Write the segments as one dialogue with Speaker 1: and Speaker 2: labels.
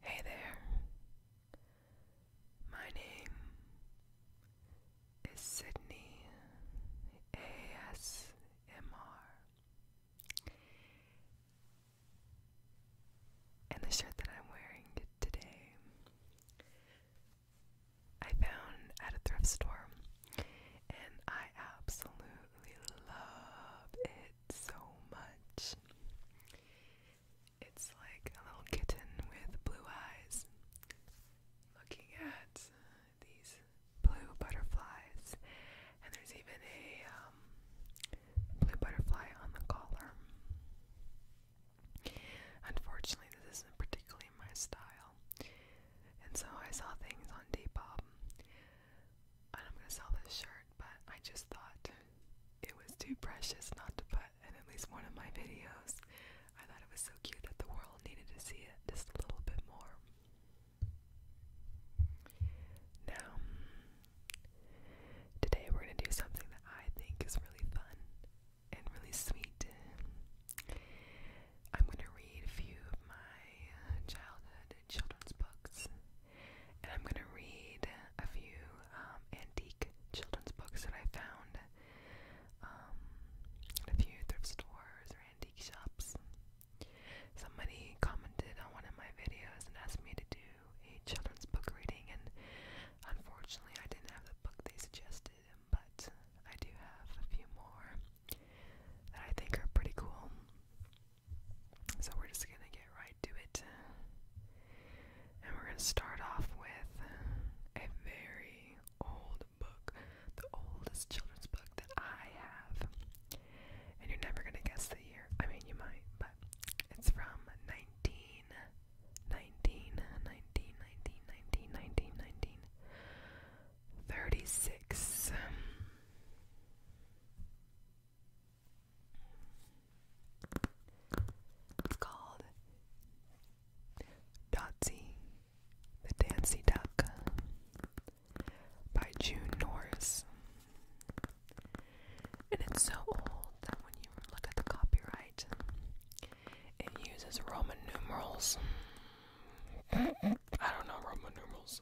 Speaker 1: Hey there. My name is Sydney ASMR. And the shirt that I'm wearing today I found at a thrift store and I absolutely love it so much. It's like a little kitten with blue eyes looking at these blue butterflies, and there's even a um, blue butterfly on the collar. Unfortunately, this isn't particularly my style, and so I saw things on Depop. And I'm gonna sell this shirt but I just thought it was too precious not to put in at least one of my videos. I thought it was so cute that the world needed to see it just a little bit more. Now, today we're going to do something that I think is really fun and really sweet. I'm going to read a few of my childhood children's books and I'm gonna read a few um, antique children's books that I found um, at a few thrift stores or antique shops. Somebody commented on one of my videos and asked me to do a children's book reading, and unfortunately, I didn't have the book they suggested, but I do have a few more that I think are pretty cool. So we're just gonna get right to it. And we're going to start off with a very old book, the oldest children's book that I have. And you're never going to guess the year. I mean, you might, but it's from 19, 19, 19, 19, 19, it's called Dotsy, the Dancy Duck by June Norris. And it's so old that when you look at the copyright, it uses Roman numerals. I don't know Roman numerals.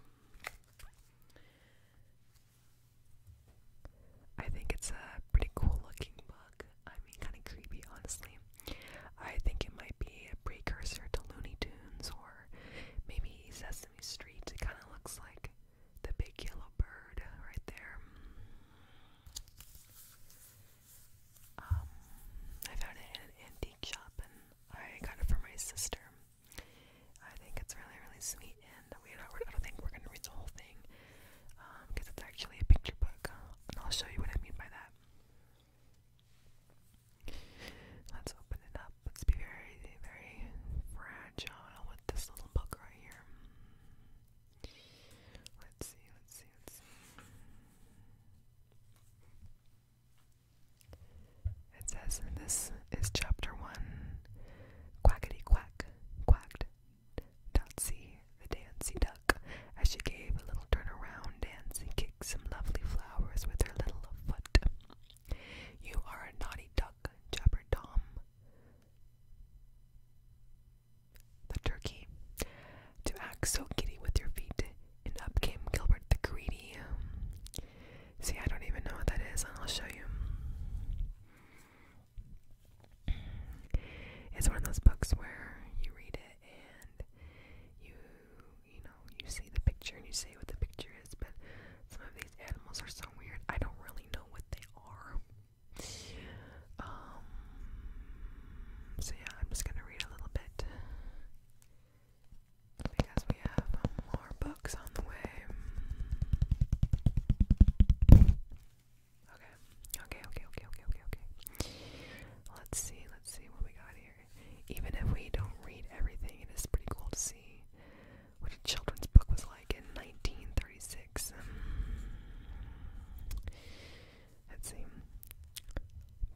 Speaker 1: I think it's a pretty cool looking book. I mean, kind of creepy, honestly. I think it might be a precursor to Looney Tunes or maybe Sesame Street. It kind of looks like the big yellow bird right there. Um, I found it in an antique shop and I got it for my sister. I think it's really, really sweet nearly in. We I don't think we're gonna read the whole thing because um, it's actually a picture book, and I'll show you what I mean by that. Let's open it up. Let's be very, very fragile with this little book right here. Let's see. Let's see. Let's see. It says, and this is chapter one. Quackity quack, quacked Tootsie, the Dancy Duck, as she gave a little turn around, Dancy kicked some lovely flowers with her little foot. You are a naughty duck, Jabber Tom. The turkey. To act so giddy with your feet, and up came Gilbert the Greedy. See, I don't even know what that is. I'll show you it's one of those books where you read it and you you know you see the picture and you say what the picture is, but some of these animals are so weird. I don't really know what they are. Um. So yeah, I'm just gonna read a little bit because we have more books on the way. Okay. Okay, okay, okay, okay, okay, okay. Let's see, let's see what we got here. Even if we don't read everything, it is pretty cool to see what a children's book was like in 1936. Hmm. Let's see.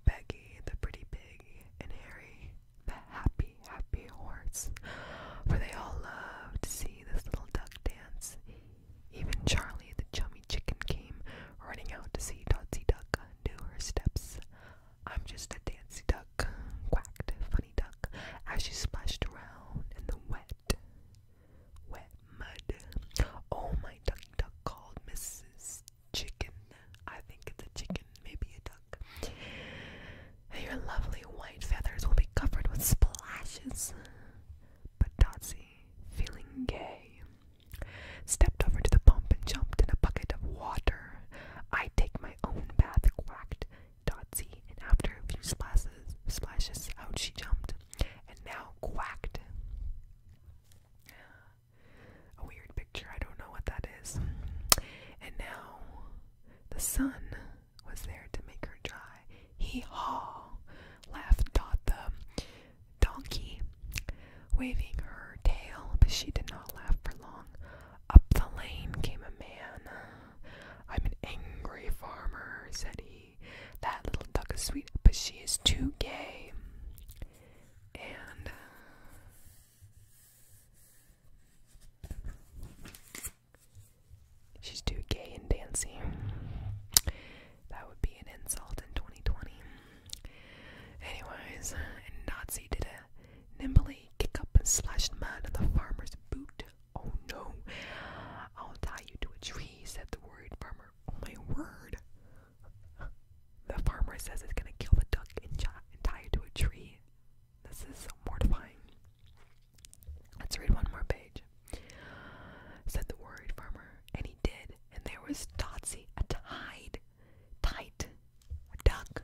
Speaker 1: Peggy the Pretty Pig and Harry the Happy, Happy Horse. For they all loved to see this little duck dance. Even Charlie the chummy chicken came running out to see Dotsy Duck do her steps. I'm just a dancy duck, quacked the Funny Duck as she splashed around in the wet, wet mud. Oh, my ducky duck called Mrs. Chicken. I think it's a chicken, maybe a duck. Your lovely white feathers will be covered with splashes. But Dotsie, feeling gay, stepped over to the pump and jumped in a bucket of water. I take my own bath, quacked Dotsie, and after a few splashes, splashes out she jumped, and now quacked. A weird picture, I don't know what that is. And now the sun was there to make her dry. He haw! laughed Dot the donkey, waving her tail, but she did not laugh for long. Up the lane came a man. I'm an angry farmer, said he. That little duck is sweet, but she is too gay. And She's too gay and dancing. That would be an insult in 2020. Anyways, and Nazi did a nimbly kick up and slashed man in the farmer's boot. Oh no. I'll tie you to a tree, said the worried farmer. Oh my word. The farmer says it's gonna kill the duck and, tie it to a tree. This is so mortifying. Let's read one more page. Said the worried farmer, and he did. And there was Totsy, a tied, tight, a duck,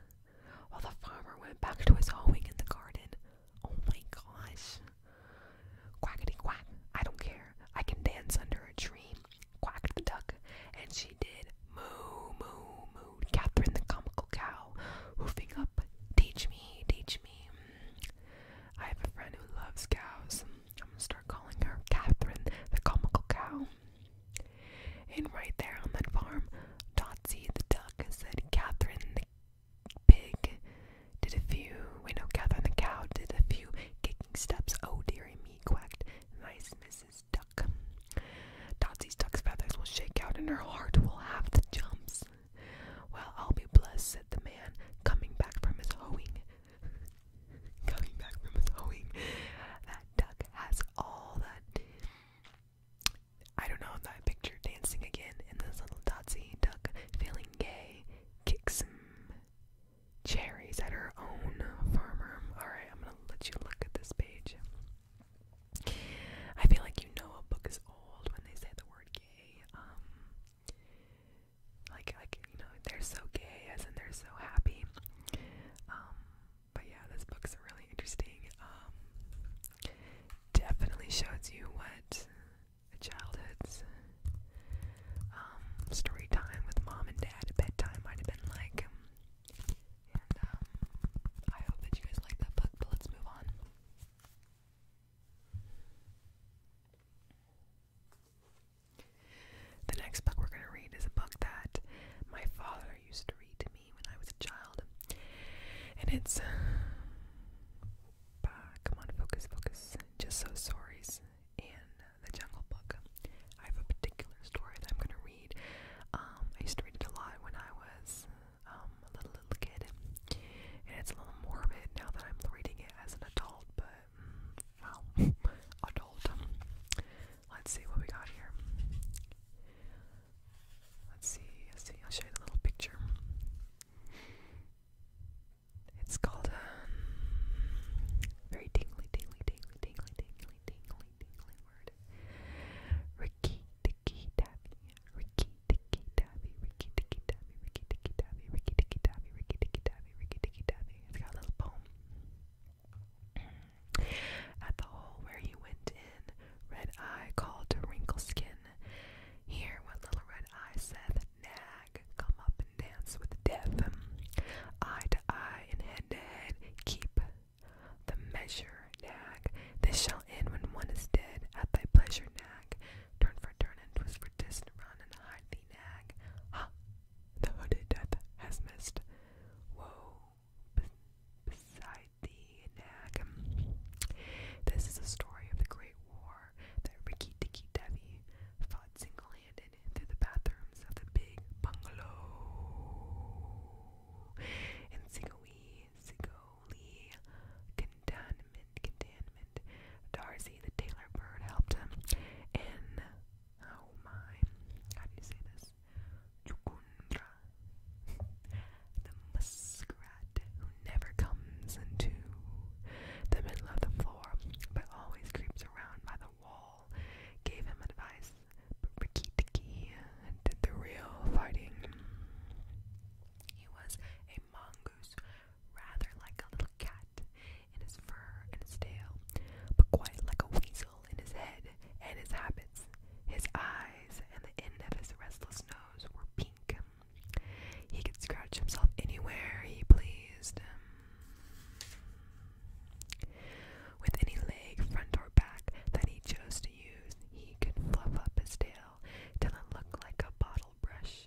Speaker 1: while the farmer went back to his hoeing in the garden. Oh my gosh. Quackety quack, I don't care. I can dance under a tree, quacked the duck, and she did. Moo, moo, moo. Catherine the comical cow, hoofing up, teach me, teach me. I have a friend who loves cows. I'm gonna start calling her Catherine the comical cow. And right there on that farm, Dotsy the duck said Catherine the pig did a few. We know Catherine the cow did a few kicking steps. Oh, dearie me, quacked nice Mrs. Duck. Dotsy's duck's feathers will shake out and her heart will have the jumps. Well, I'll be blessed, said the man, coming back from his hoeing. coming back from his hoeing. That duck has all that. I don't know that picture dancing again in this little dotsy duck, feeling gay, kicks some cherries at her own farmer. Alright, I'm gonna let you look at this page. I feel like you know a book is old when they say the word gay. Um, like like you know they're so gay as in they're so happy um but yeah this book's really interesting um definitely shows you what a childhood's um story time with mom and dad at bedtime might have been like and um I hope that you guys like that book but let's move on the next book we're going to read is a book that my father used to read to me when I was a child. And it's. Uh, come on, focus, focus. Just So Stories in the Jungle Book. I have a particular story that I'm going to read. Um, I used to read it a lot when I was um, a little, little kid. And it's a little morbid now that I'm reading it as an adult adult, but mm, well, adult. Let's see what we got here. Let's see, let's see, I'll show you the little picture. It's called um, very tingly, tingly, tingly, tingly, tingly, tingly, tingly word. Ricky Dicky Davy. Ricky Dicky Davy. Ricky Dicky tabby, Ricky Ticky Tabby, Ricky Ticky Tabby, Ricky Ticky Tabby, Ricky Ticky Tabby. It's got a little poem. At the hole where he went in, Red Eye called to Wrinkle Skin. Hear what little Red Eye saith, nag, come up and dance with death. Eye to eye and head to head, keep the measure, nag. This shall end when one is dead, at thy pleasure, nag. Turn for turn and twist for twist, run and hide the nag. Ha! The hooded death has missed. Woe beside the nag. This is a story of the Great War that Ricky Dicky Devi fought single-handed through the bathrooms of the big bungalow in Sigoi, Sigoli, containment, containment. Darcy the tailor Bird helped him. And oh my, how do you say this? Jukundra, the muskrat who never comes into the middle of the floor, but always creeps around by the wall, gave him advice. But Tikki did the real fighting. He was a mongoose rather like a little cat in his fur and his tail, but quite like a weasel in his head and his habits. His eyes and the end of his restless nose were pink. He could scratch himself anywhere he pleased. With any leg, front or back, that he chose to use, he could fluff up his tail till it looked like a bottle brush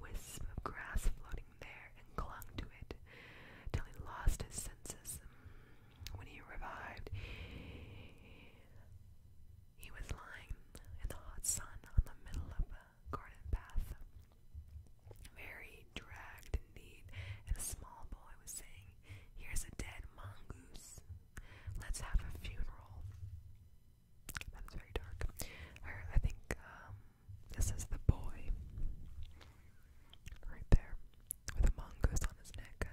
Speaker 1: wisp of grass floating there and clung to it till he lost his senses. Mm, when he revived, he was lying in the hot sun on the middle of a garden path. Very dragged indeed, and a small boy was saying, Here's a dead mongoose. Let's have a funeral. That is very dark. I think um, this is the boy. Right there. With a mongoose on his neck.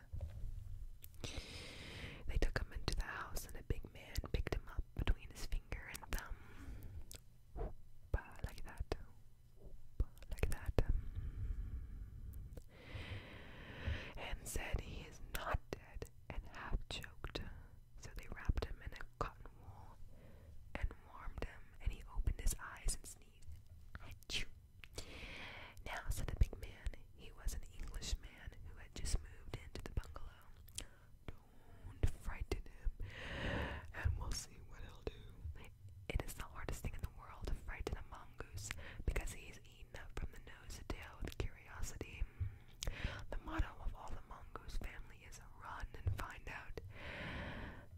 Speaker 1: They took him into the house and a big man picked him up between his finger and thumb. like that. like that. And said he is not dead and half choked. So they wrapped him in a cotton wool and warmed him, and he opened his eyes and sneezed. Now, said the big man, he was an Englishman who had just moved into the bungalow. Don't frighten him, and we'll see what he'll do. It is the hardest thing in the world to frighten a mongoose because he's eaten up from the nose to tail with curiosity. The motto of all the mongoose family is run and find out.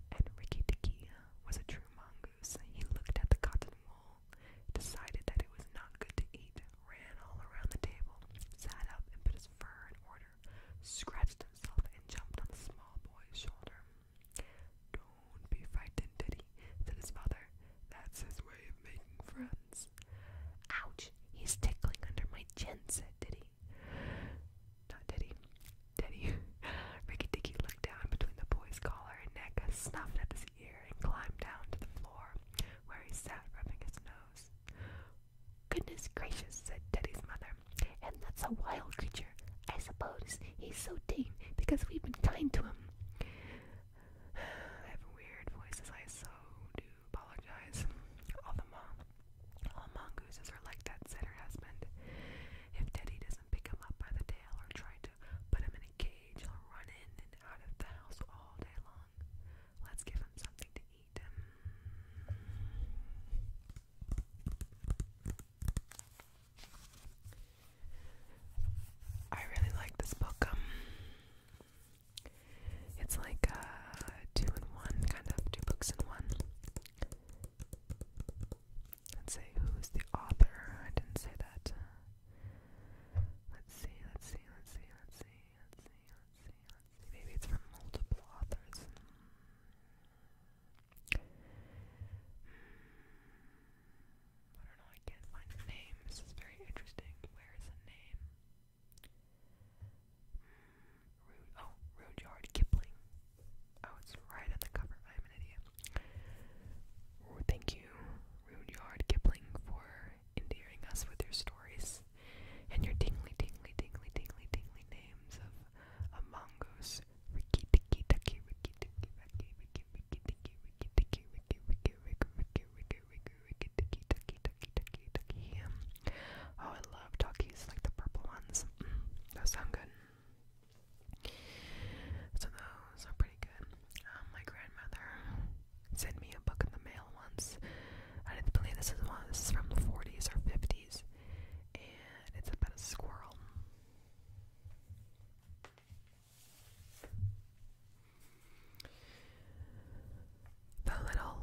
Speaker 1: And Rikki Tikki was a true mongoose. He looked at the cotton wool, decided that it was not good to eat, ran all around the table, sat up and put his fur in order, scratched himself and jumped on the small boy's shoulder. Don't be frightened, Diddy, said his father. That's his way friends. Ouch! He's tickling under my chin, said Diddy. Not Teddy. Teddy. Rikki Dicky looked down between the boy's collar and neck, snuffed at his ear, and climbed down to the floor, where he sat rubbing his nose. Goodness gracious, said Teddy's mother. And that's a wild creature. I suppose he's so tame because we've been kind to him. I have weird voices, I so do apologize. All the mom, all mongooses are like that, said her husband. If Teddy doesn't pick him up by the tail or try to put him in a cage, he'll run in and out of the house all day long. Let's give him something to eat. Um, I really like this book. Um, it's like a uh, two and one, kind of two books in one. Let's see, who's the author? I didn't say that. Let's see, let's see, let's see, let's see, let's see, let's see, let's see. Maybe it's from multiple authors. Hmm. I don't know, I can't find names. It's very interesting. Where is the name? Rude, oh, Rudyard Kipling. Oh, it's right on the cover. I'm an idiot. Oh, thank you, Rudyard Kipling, for endearing us with your stories and your tingly, tingly, tingly, tingly, tingly names of Among Us, Ricky, Tiki, Tiki, Ricky, Tiki, Ricky, Ricky, Ricky, Ricky, Ricky, Ricky, Ricky, Ricky, Ricky, Ricky, Ricky, Ricky, Ricky, Ricky, Ricky, Ricky, Tucky, Tucky, Tucky. Oh, I love Tuckies, like the purple ones. Mm, those sound good. So those are pretty good. Um, my grandmother sent me a book in the mail once. I didn't believe this is one. This is from the 40s or 50s, and it's about a squirrel. The little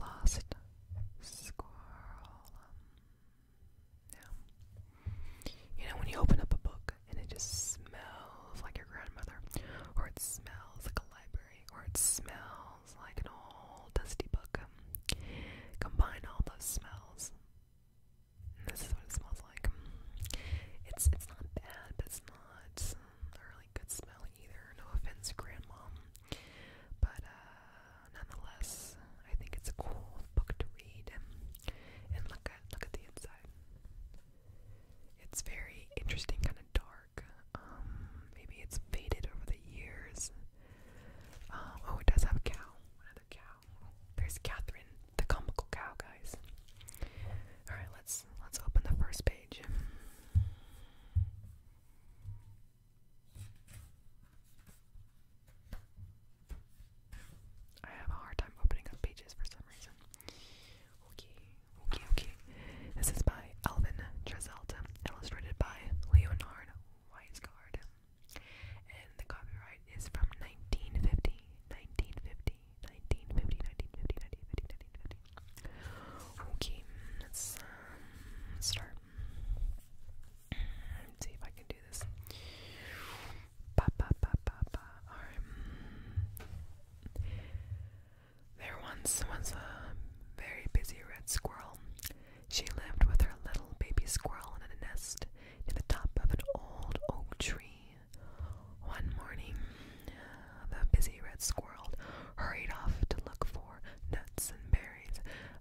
Speaker 1: lost squirrel. yeah. You know, when you open up a book and it just smells like your grandmother, or it smells like a library, or it smells like an old dusty book. combine all those smells. this is what it smells like. It's it's not bad, but it's not um, a really good smell either. No offense, grandma. But uh, nonetheless, I think it's a cool book to read and, look at look at the inside. It's very interesting, kind of dark. Um, maybe it's faded over the years. Uh, oh, it does have a cow. Another cow. There's Catherine, the comical cow, guys. All right, let's let's open the first page. I have a hard time opening up pages for some reason. Okay, okay, okay. This is by Alvin Trezelta, illustrated by Leonard Weisgard. And the copyright is from 1950, Okay, let's um, start. Let's see if I can do this. Ba, ba, ba, ba, ba. There once was a very busy red squirrel. She lived with her little baby squirrel in a nest in the top of an old oak tree. One morning, the busy red squirrel hurried off to look for nuts and berries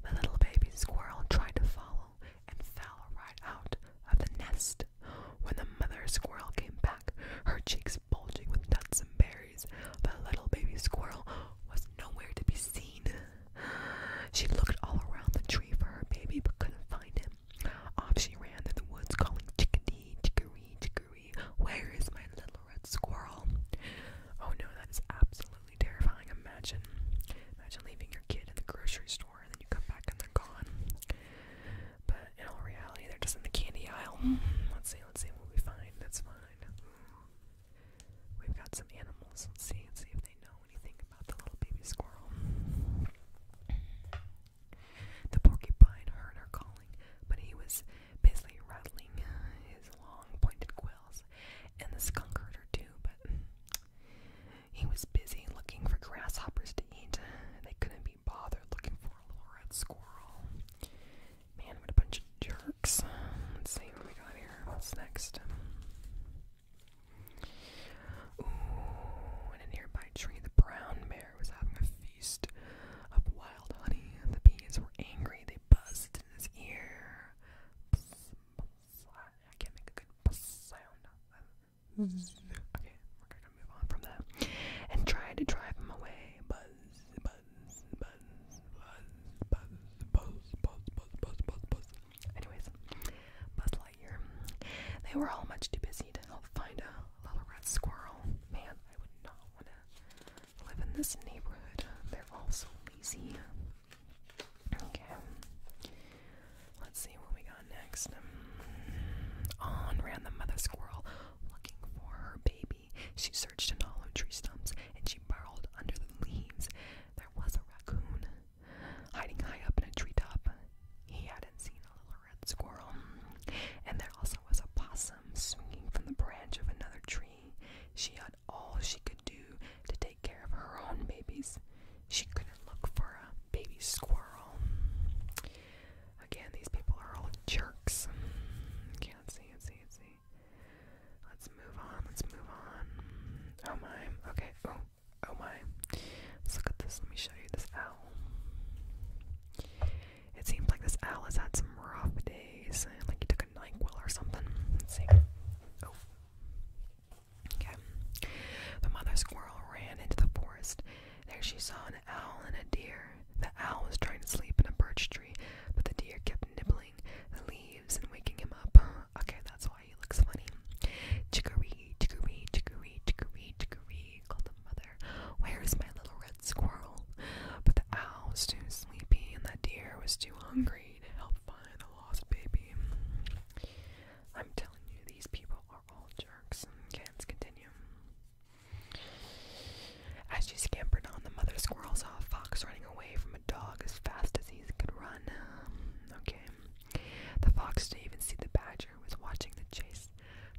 Speaker 1: the little baby squirrel tried to follow and fell right out of the nest. When the mother squirrel came back, her cheeks bulging with nuts and berries, the little baby squirrel was nowhere to be seen. She looked all around the tree for her baby but couldn't find him. Off she ran through the woods calling chickadee, chickadee, chickadee, where is my little red squirrel? Oh no, that is absolutely absolutely terrifying. Imagine, imagine leaving your kid in the grocery store and then you come back and they're gone. But in all reality, they're just in the candy aisle. Mm-hmm. Let's see, let's see what we find. That's fine. We've got some animals. Let's see, let's see if they know anything about the little baby squirrel. The porcupine heard her calling, but he was busy rattling his long pointed quills and the skunk herder too, but he was busy looking for grasshoppers to eat. They couldn't be bothered looking for a little red squirrel. Man, what a bunch of jerks. Let's see what we got here. What's next? in a nearby tree, the brown bear was having a feast of wild honey. The bees were angry. They buzzed in his ear. I can't make a good buzz sound. Okay, we're gonna move on from that. And try to drive him away. Buzz, buzz, buzz, buzz, buzz, buzz, buzz, buzz, buzz, buzz, buzz. Anyways, Buzz They were all much too busy to help find a little red squirrel. Man, I would not wanna live in this neighborhood. They're all so lazy. Okay. Let's see what we got next. On mm, ran the mother squirrel looking for her baby. She searched in hollow tree stumps and she burrowed under the leaves. There was a raccoon hiding high up in a treetop. He hadn't seen a little red squirrel. And there also was a possum swinging from the branch of another tree. She all she could do to take care of her own babies. She couldn't look for a baby squirrel. Again, these people are all jerks. Can't see, can't see, can't see. Let's move on, let's move on. Oh my, okay, oh, oh my. look at this, let me show you this owl. It seems like this owl has had some rough days, like he took a NyQuil or something. see. Oh, Okay. The mother squirrel ran into the forest. There she saw an owl and a deer. The owl was trying to sleep in a birch tree, but the deer kept nibbling the leaves and waking him up. Okay, that's why he looks funny. Chicory, chicory, chicory, chicory, chicory, called the mother. Where is my little red squirrel? But the owl was too sleepy and the deer was too hungry. Raid, help find the lost baby. I'm telling you, these people are all jerks. Okay, let's continue. As she scampered on, the mother squirrel saw a fox running away from a dog as fast as he could run. okay. The fox didn't even see the badger who was watching the chase,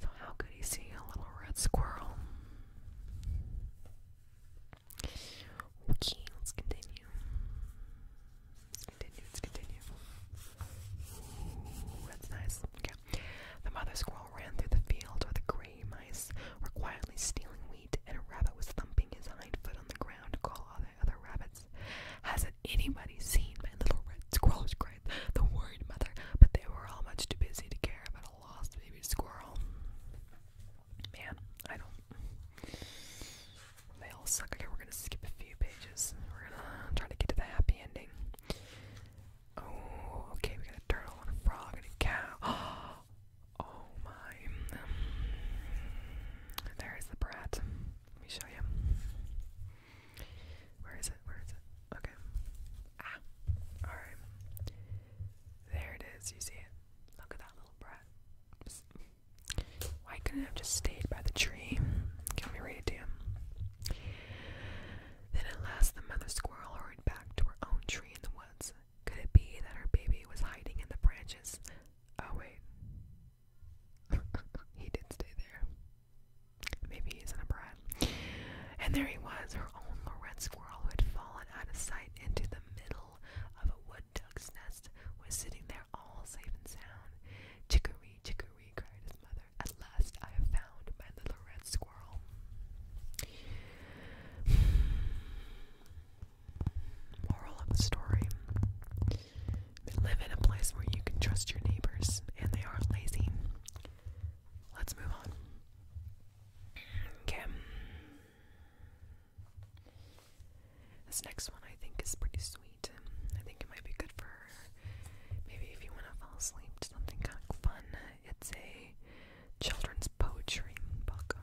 Speaker 1: so how could he see a little red squirrel? Okay, let's continue. Let's continue, let's continue. that's nice. Okay. The mother squirrel ran through the field where the gray mice were quietly stealing wheat, and a rabbit was thumping his hind foot on the ground to call all the other rabbits. Hasn't anybody seen my little red squirrel's She The worried mother, but they were all much too busy to care about a lost baby squirrel. Man, I don't. They all suck. Okay, we're gonna skip a few pages. We're gonna try to get to the happy ending. Oh, okay, we got a turtle a frog and a cow. Oh my. There's the brat. Let me show you. Where is it? Where is it? Okay. Ah. Alright. There it is. You see it? Look at that little brat. Why couldn't I just stayed by the tree? Can we read it to you? Then at last the mother squirrel hurried back to her own tree in the woods. Could it be that her baby was hiding in the branches? Oh wait. he did stay there. Maybe he's in a brat. And there he was, her own Lorette squirrel who had fallen out of sight into the middle of a wood one duck's nest was sitting there all safe and sound. Chicory, chicory, cried his mother. At last I have found my little red squirrel. Moral of the story Live in a place where you can trust your neighbors and they aren't lazy. Let's move on. Okay. This next one I think is pretty sweet. I think it might be good for maybe if you want to fall asleep to something kind of fun. It's a children's poetry book,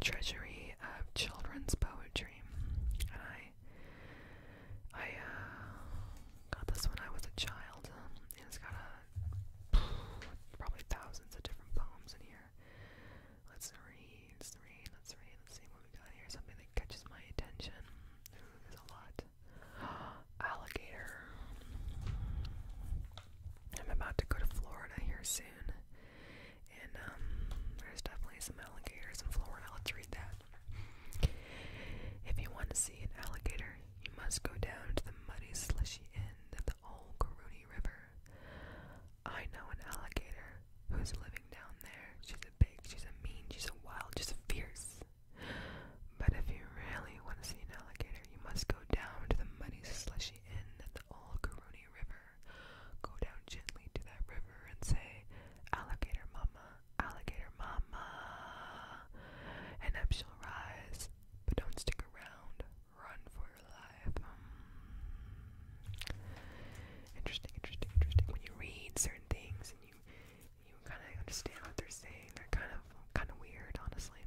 Speaker 1: Treasury of Children's Poetry. And I, I uh, got this when I was a child. it's got probably thousands of different poems in here. Let's read, let's read, let's read, let's see what we got here. Something that catches my attention. there's a lot. Alligator. I'm about to go to Florida here soon. And um, there's definitely some alligators in Florida. Let's read that. If you want to see an alligator, you must go down to the muddy slushy end of the old Caruni River. I know an alligator who's living down there. She's a big, she's a mean, she's a wild, she's a fierce. But if you really want to see an alligator, you must go down to the muddy, slushy inn at the old Karuni River. Go down gently to that river and say, Alligator Mama, Alligator Mama. And up she'll rise. But don't stick around. Run for life. Um, interesting, interesting, interesting. When you read certain things and you you kind of understand what they're saying, they're kind of kind of weird, honestly.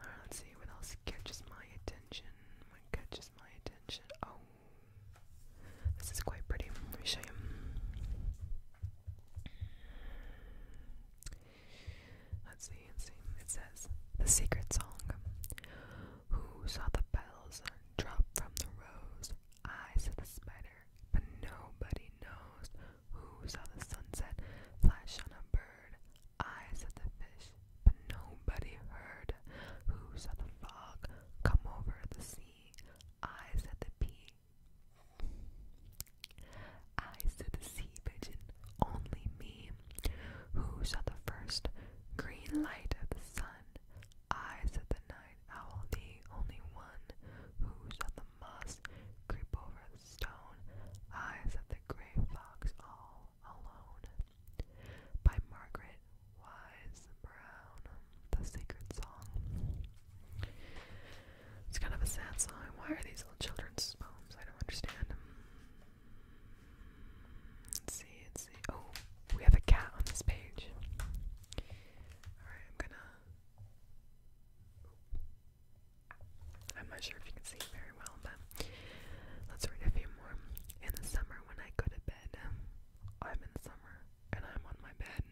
Speaker 1: right, let's see what else catches my attention. What catches my attention? Oh, this is quite pretty. Let me show you. Let's see, let's see. It says the secret song. Who saw the bells drop from the rose? I, said the spider, but nobody knows. Who saw the sunset flash on a bird? I, said the fish, but nobody heard. Who saw the fog come over the sea? I, said the pea. I, said the sea pigeon, only me me, who saw the first green light of the sun. I, said the night owl, the only one who saw the moss creep over the stone. I, said the gray fox, all alone. By Margaret Wise Brown, the sacred song. It's kind of a sad song. Why are these little children's poems? I don't understand. Let's see, let's see. Oh, we have a cat on this page. Alright, I'm gonna. I'm not sure if you can see it very well, but let's read a few more. In the summer, when I go to bed, I'm in the summer and I'm on my bed.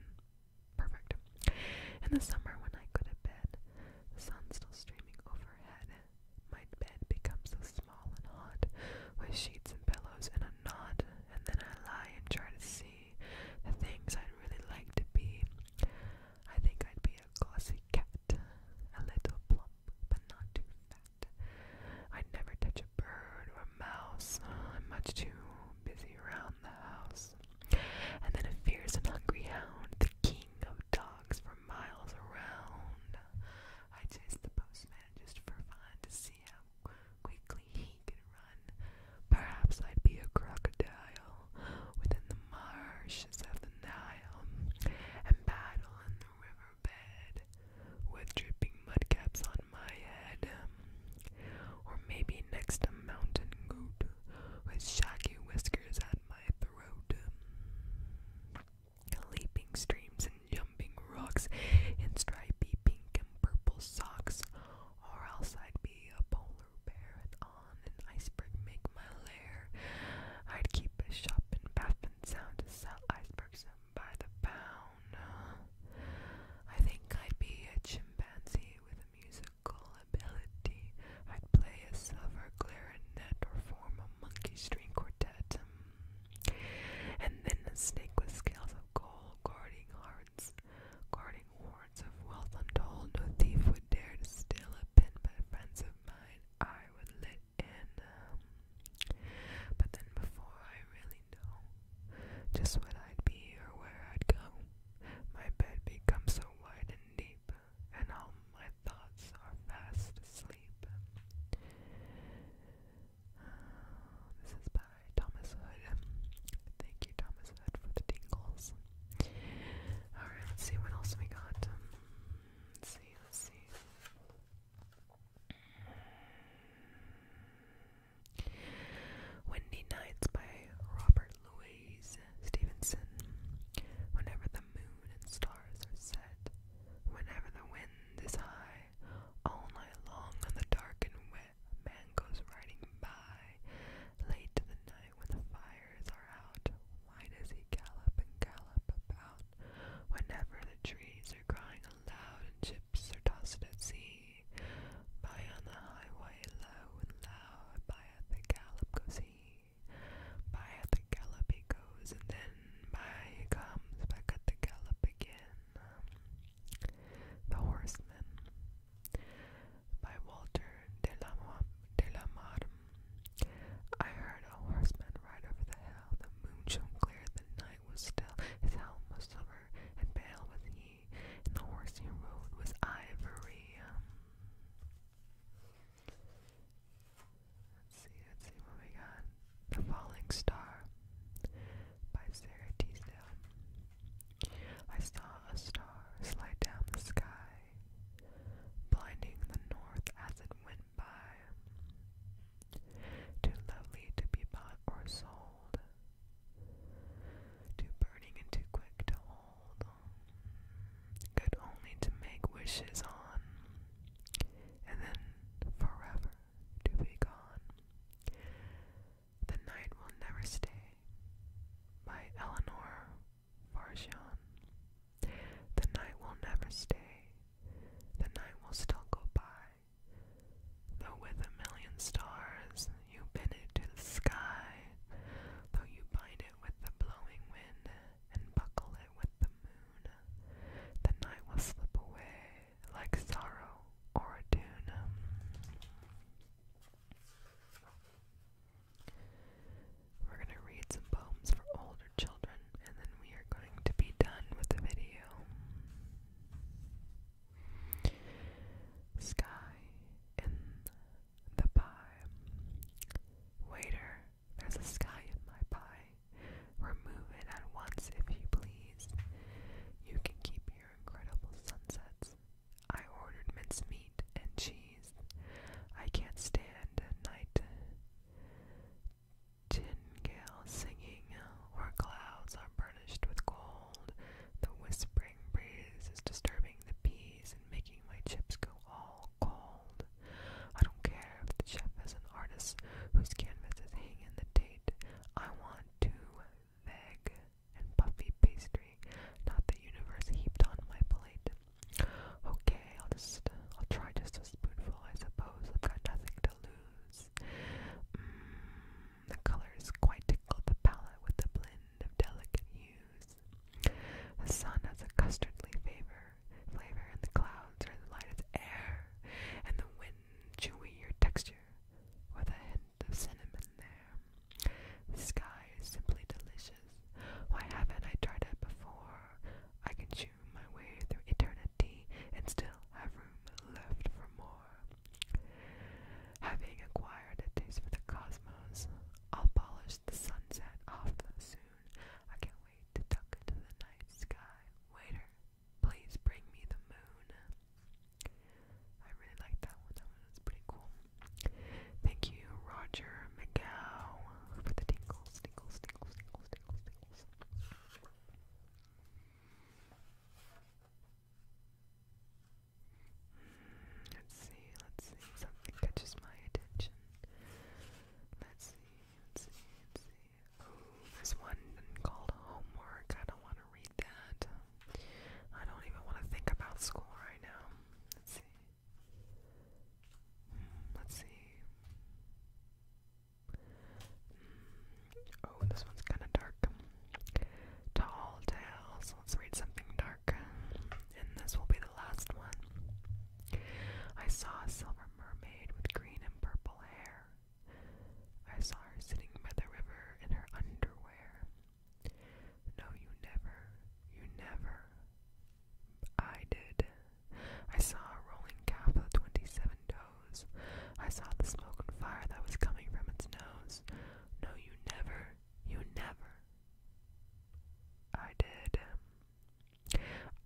Speaker 1: Perfect. In the summer, when I go to bed, the sun's still streaming overhead. My bed becomes so small and hot, with sheets and pillows and a nod, and then I lie and try to see the things I'd really like to be. I think I'd be a glossy cat, a little plump, but not too fat. I'd never touch a bird or a mouse, I'm much too busy around the house. And then a fierce and hungry hound, the king of dogs for miles around. I chase the postman just for fun to see how quickly he can run. Perhaps I'd be a crocodile within the marshes of the Nile and battle in the riverbed with dripping mudcaps on my head. Or maybe next a mountain goat with shaggy whiskers at my throat leaping streams and jumping rocks in stripy pink and purple socks, or else I'd be a polar bear and on an iceberg make my lair. I'd keep a shop in and Sound to sell icebergs by the pound. Uh, I think I'd be a chimpanzee with a musical ability. I'd play a silver clarinet or form a monkey string quartet. And then the snake with scales of gold, guarding hearts, guarding wards of wealth untold. No thief would dare to steal a pin, but friends of mine I would let in. Um, but then before I really know just when I'd be or where I'd go, my bed becomes so wide and deep, and all my thoughts are fast asleep. This is by Thomas Hood. Thank you, Thomas Hood, for the tingles. Alright, let's see what else we got. Um, see, see. Windy Nights by Robert Louise Stevenson. Whenever the moon and stars are set, whenever the wind is high all night long on the dark and wet mangoes riding by late in the night when the fires are out why does he gallop and gallop about whenever the trees are crying aloud and chips are tossed at sea by on the highway low and loud by the gallop goes he by the gallop he goes and then by comes back at the gallop again. The Horseman by Walter de la, de la Marme. I heard a horseman ride over the hill. The moon shone clear, the night was still. His helm was silver, and pale was he, and the horse he rode was ivory see, let's see what we got. The Falling Star by Sarah Teasdale. I saw a star slide down the sky, blinding the north as it went by. Too lovely to be bought or sold, too burning and too quick to hold. Good only to make wishes on, and then forever to be gone. The Night Will Never Stay by Eleanor Farshon. The night will never stay, the night will still go by. Though with a million stars you bend it to the sky, though you bind it with the blowing wind and buckle it with the moon, the night will slip away, like sorrow or a tune. Um, we're going to read some poems for older children and then we are going to be done with the video. Sky in the pie. Waiter, there's a sky in my pie. Remove it at once if you please. You can keep your incredible sunsets. I ordered mincemeat and cheese. I can't stand a night Tingale singing, or clouds are burnished with gold. The whispering breeze is disturbing the peas and making my chips go all cold. I don't care if the chef is an artist whose canvas is hanging the day I want to veg and puffy pastry, not the universe heaped on my plate. Okay, I'll just, I'll try just a spoonful, I suppose. I've got nothing to lose. Mm, the color is quite tickled the palette with a blend of delicate hues. The sun has a custardly flavor, flavor, and the clouds are as light as air, and the wind chewy your texture ginger with a hint of cinnamon there. The sky is simply delicious. Why haven't I tried it before? I can chew my way through eternity and still have room left for more. Having acquired a taste for the cosmos, I'll polish the sunset off soon. I can't wait to tuck into the night sky. Waiter, Please Bring Me the Moon. I really like that one. That one was pretty cool. Thank you, Roger McGow, for the tingles, tingles, tingles, tingles, tingles, tingles. Hmm, let's see, let's see. Something catches my attention. let's see, let's see. Ooh, one called Homework. I don't want to read that. I don't even want to think about school right now. Let's see. Hmm, let's see. Hmm, oh, this one's kind of dark. Tall Tales. Let's read something dark. And this will be the last one. I saw a silver mermaid with green and purple hair. I saw her sitting by the river in her underwear. No, you never, you never. I did. I saw a rolling calf of twenty-seven toes. I saw the smoke and fire that was coming from its nose. No, you never, you never. I did.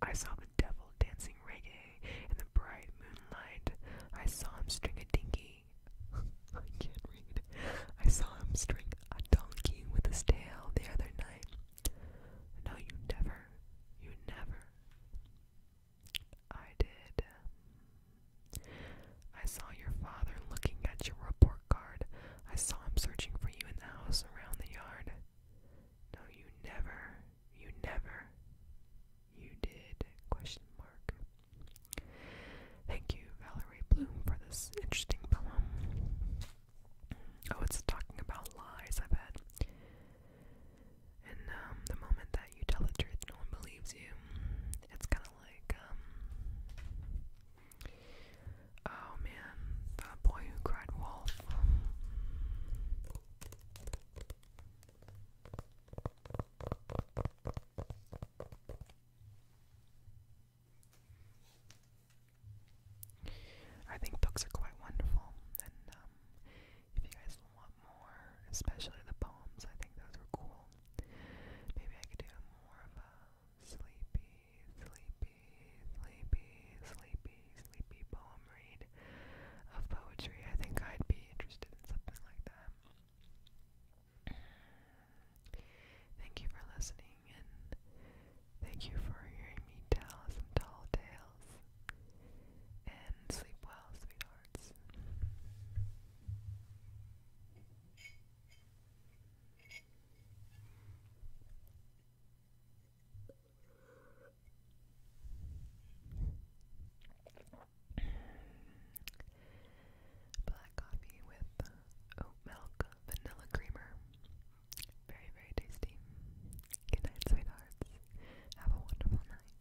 Speaker 1: I saw the devil dancing reggae in the bright moonlight, I saw him string a dinky. I can't read. I saw him string a donkey with his tail the other night. No, you never. You never. I did. I saw your father looking at your report card. I saw him searching for you in the house around the yard. No, you never. You never. You did? Thank you, Valerie Bloom, for this interesting poem. Oh, it's talking about lies, I bet. And um, the moment that you tell the truth, no one believes you. It's kind of like, um, oh man, the boy who cried wolf. I think books are quite wonderful, and um, if you guys want more, especially the poems, I think those were cool. Maybe I could do more of a sleepy, sleepy, sleepy, sleepy, sleepy poem read of poetry. I think I'd be interested in something like that. Thank you for listening, and thank you for hearing me tell some tall tales. And sleep well, sweethearts. Black coffee with oat milk, vanilla creamer. Very, very tasty. Good night, sweethearts. Have a wonderful night.